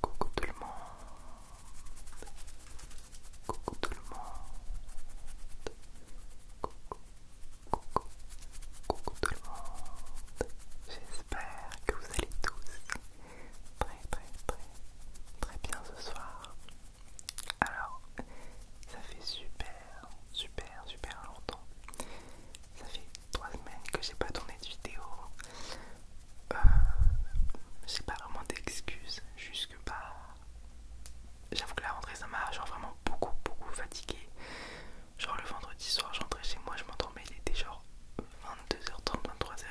Coucou tout le monde. Coucou tout le monde. Coucou. Coucou. Coucou tout le monde. J'espère que vous allez tous très très très très bien ce soir. Alors, ça fait super super super longtemps ça fait trois semaines que j'ai pas tourné de vidéo. j'ai euh, pas vraiment d'excuses, jusque pas. Bah, j'avoue que la rentrée ça m'a genre vraiment beaucoup beaucoup fatigué. Genre le vendredi soir, j'entrais chez moi, je m'endormais, il était genre 22h30, 23h.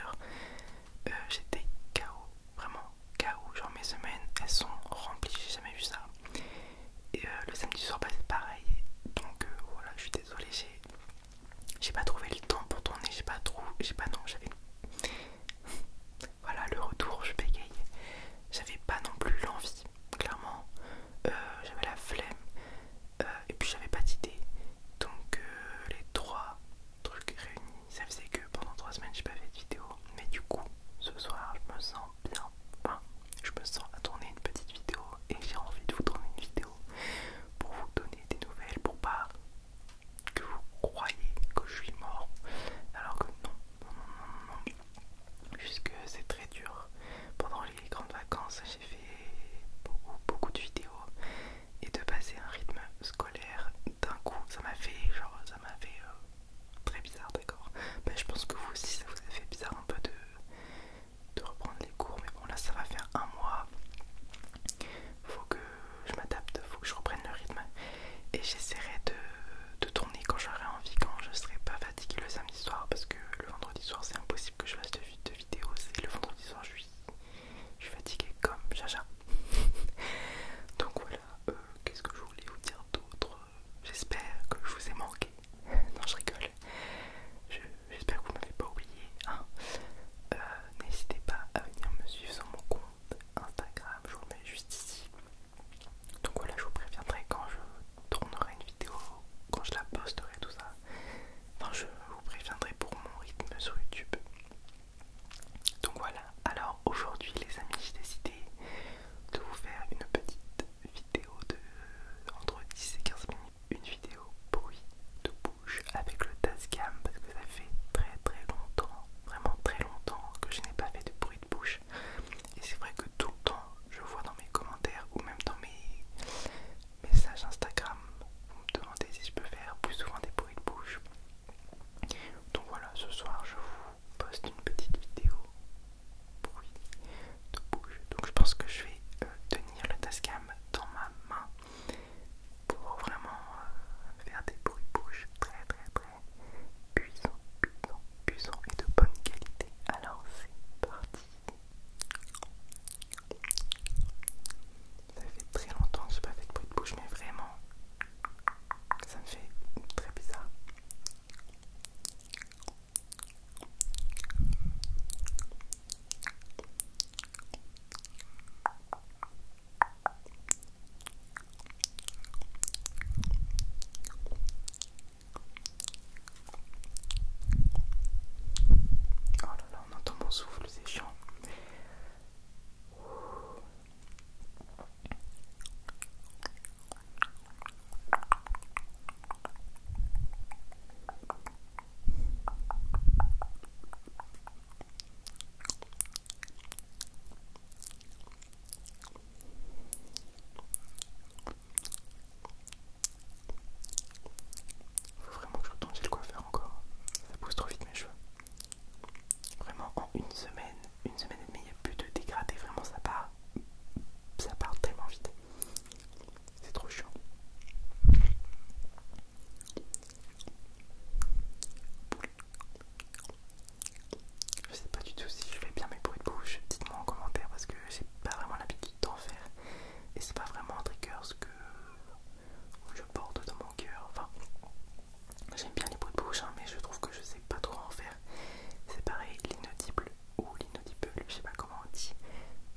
Euh, j'étais KO, vraiment KO. Genre mes semaines, elles sont remplies, j'ai jamais vu ça. Et euh, le samedi soir, bah, c'est pareil. Donc euh, voilà, je suis désolée, j'ai pas trouvé le temps pour tourner, j'ai pas trouvé, j'ai pas non, j'avais voilà le retour, je bégayais, J'avais pas non plus l'envie, clairement. Euh, j'avais la flemme et puis j'avais pas d'idée. Donc les trois trucs réunis, ça faisait que pendant trois semaines j'ai pas fait de vidéo. Mais du coup, ce soir, je me sens bien je me sens à tourner une petite vidéo et j'ai envie de vous tourner une vidéo pour vous donner des nouvelles, pour pas que vous croyez que je suis mort, alors que non, non, non, non, non, puisque c'est très dur. Pendant les grandes vacances, j'ai fait beaucoup, beaucoup de vidéos et de passer un rythme scolaire d'un coup, ça m'a fait genre, ça m'a fait euh, Très bizarre, d'accord. mais bah, je pense que vous aussi, ça vous a fait bizarre un peu de, de reprendre les cours, mais bon, là, ça va faire un mois. Faut que je m'adapte, faut que je reprenne le rythme. Et j'essaierai de, tourner quand j'aurai envie, quand je serai pas fatiguée le samedi soir, parce que le vendredi soir, c'est impossible que je fasse de, vidéos. Et le vendredi soir, je suis, je suis fatiguée comme Jaja. Donc voilà, euh, qu'est-ce que je voulais vous dire d'autre J'espère que je vous ai manqué. non, je rigole. J'espère que vous m'avez pas oublié. Hein. Euh, n'hésitez pas à venir me suivre sur mon compte Instagram. Je vous le mets juste ici. Donc voilà, je vous préviendrai quand je tournerai une vidéo, quand je la posterai, tout ça. Enfin, je vous préviendrai pour mon rythme sur YouTube. Donc voilà, alors aujourd'hui les amis, j'ai décidé de vous faire une petite vidéo de euh, entre 10 et 15 minutes, une vidéo bruit de bouche avec le Tascam parce que ça fait très très longtemps, vraiment très longtemps que je n'ai pas fait de bruit de bouche. Et c'est vrai que tout le temps, je vois dans mes commentaires ou même dans mes messages Instagram, vous me demandez si je peux faire plus souvent des bruits de bouche. Donc voilà, ce soir je vous poste une petite vidéo bruit de bouche. Donc je pense que je vais euh, tenir le tascam dans ma main pour vraiment euh, faire des bruits de bouche très très très puissants, puissants, et de bonne qualité. Alors c'est parti. Ça fait très longtemps que je n'ai pas fait de bruit de bouche, mais vraiment, ça me fait très bizarre. Oh là là, on entend mon souffle, c'est chiant. Faut vraiment que je retombe, le coiffeur encore. Ça pousse trop vite mes cheveux. Vraiment en une semaine, une semaine et demie, il n'y a plus de dégradé, vraiment ça part, ça part tellement vite. C'est trop chiant. Je sais pas du tout si je fais bien mes bruits de bouche, dites-moi en commentaire parce que j'ai pas vraiment l'habitude d'en faire et c'est pas vraiment un trigger ce que je porte dans mon cœur. Enfin, J'aime bien les bouts de bouche, hein, mais je trouve que je sais pas trop en faire. C'est pareil, l'inaudible ou l'inaudible, je sais pas comment on dit.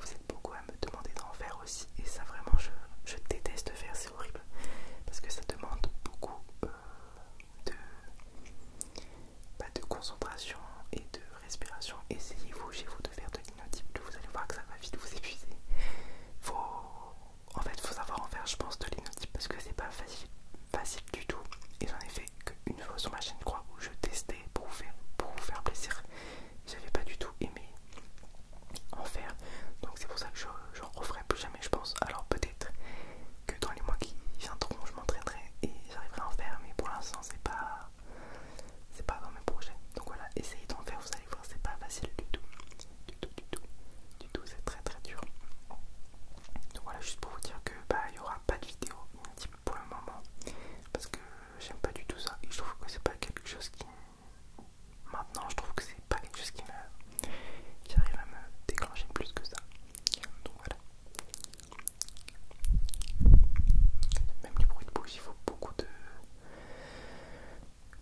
Vous êtes beaucoup à me demander d'en faire aussi, et ça vraiment je, déteste déteste faire, c'est horrible parce que ça demande beaucoup euh, de, pas bah, de concentration et de respiration. Essayez-vous chez vous de faire de l'inaudible, vous allez voir que ça va vite vous épuiser. Faut, en fait faut savoir en faire je pense de l'inotype parce que c'est pas facile facile du tout et j'en ai fait qu'une fois sur ma chaîne crois, où je testais pour vous faire, pour vous faire plaisir j'avais pas du tout aimé en faire donc c'est pour ça que je j'en referai plus jamais je pense alors peut-être que dans les mois qui viendront je m'entraînerai et j'arriverai à en faire mais pour l'instant c'est pas c'est pas dans mes projets donc voilà essayez d'en faire vous allez voir c'est pas facile du tout du tout du tout du tout c'est très très dur donc voilà, juste pour vous dire que bah il n'y aura pas de vidéo pour le moment parce que j'aime pas du tout ça et je trouve que c'est pas quelque chose qui maintenant je trouve que c'est pas quelque chose qui me arrive à me déclencher plus que ça. Donc voilà. Même les bruits de bouche, il faut beaucoup de,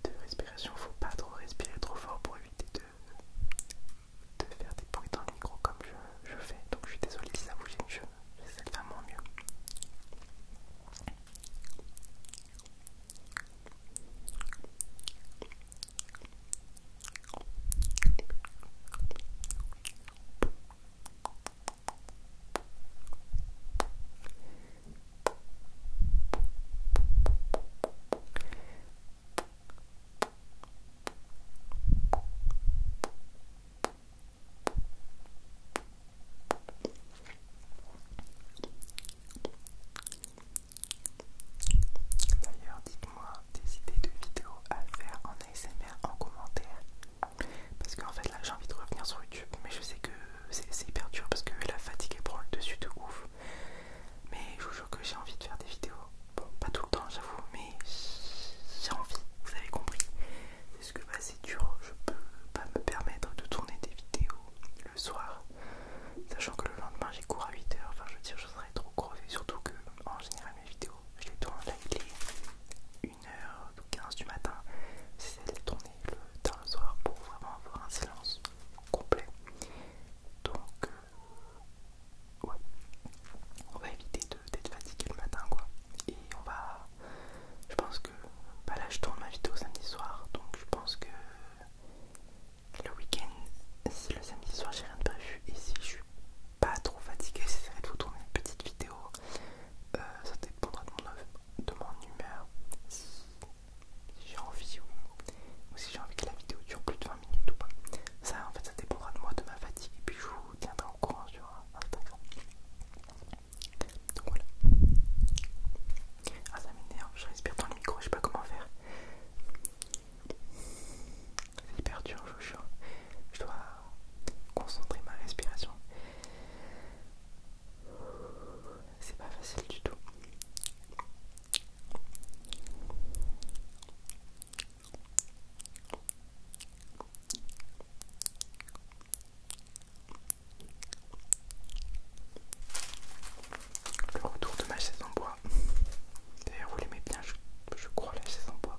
de respiration, faut pas trop respirer trop fort pour éviter de de, faire des bruits dans le micro comme je, fais. Donc je suis désolé si ça bouge une je, j'essaie de faire mon mieux. D'ailleurs, dites-moi des idées de vidéos à faire en ASMR en commentaire. Parce qu'en fait, là j'ai envie de revenir sur YouTube, mais je sais que c'est hyper dur parce que la fatigue est prend le dessus de ouf. Mais je vous jure que j'ai envie de faire des vidéos. Bon, pas tout le temps, j'avoue, mais j'ai envie, vous avez compris. Parce que bah, c'est dur, je peux pas me permettre de tourner des vidéos le soir, sachant que le lendemain j'ai cours à 8h. Enfin, je veux dire, je serais trop crevé, surtout que en général, mes vidéos, je les tourne là, il est 1h15 du matin. C'est de tourner le, dans le soir pour vraiment avoir un silence complet. Donc, euh, ouais, on va éviter d'être fatigué le matin, quoi. Et on va, je pense que, bah là, je tourne ma vidéo samedi soir, donc je pense que le week-end, si le samedi soir, j'ai rien de prévu, et si je suis pas trop fatigué, j'essaierai de vous tourner une petite vidéo. Euh, ça dépendra de mon, de mon humeur si j'ai envie ou, si j'ai envie que la vidéo dure plus de 20 minutes ou pas. Ça en fait ça dépendra de moi, de ma fatigue et puis je vous tiendrai au courant sur Instagram. Donc voilà. Ah ça m'énerve, je respire dans le micro, je sais pas comment faire. C'est hyper dur, je Je dois concentrer ma respiration. C'est pas facile du tout. Le retour de ma chaise en bois. D'ailleurs, vous l'aimez bien, je, crois, la chaise en bois.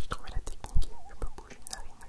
Je trouvais la technique, je peux bouger une narine.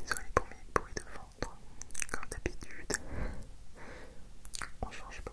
Désolé pour mes bruits de ventre, comme d'habitude, on change pas.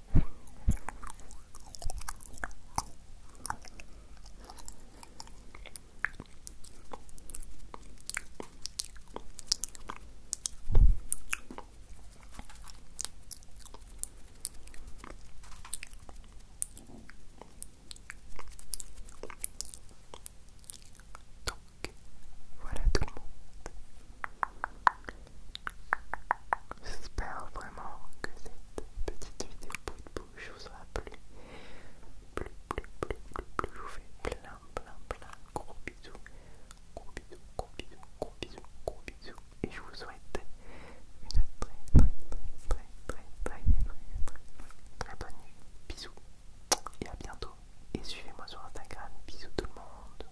Donc voilà tout le monde. J'espère vraiment que cette petite vidéo de bouche vous aura plu. Plus, plus, plus, plus. Je vous fais plein, plein, plein gros bisous. Gros bisous, gros bisous, gros bisous, Et je vous souhaite une très, très, très, très, très, très, très bonne nuit. Bisous. Et à bientôt. Et suivez-moi sur Instagram. Bisous tout le monde.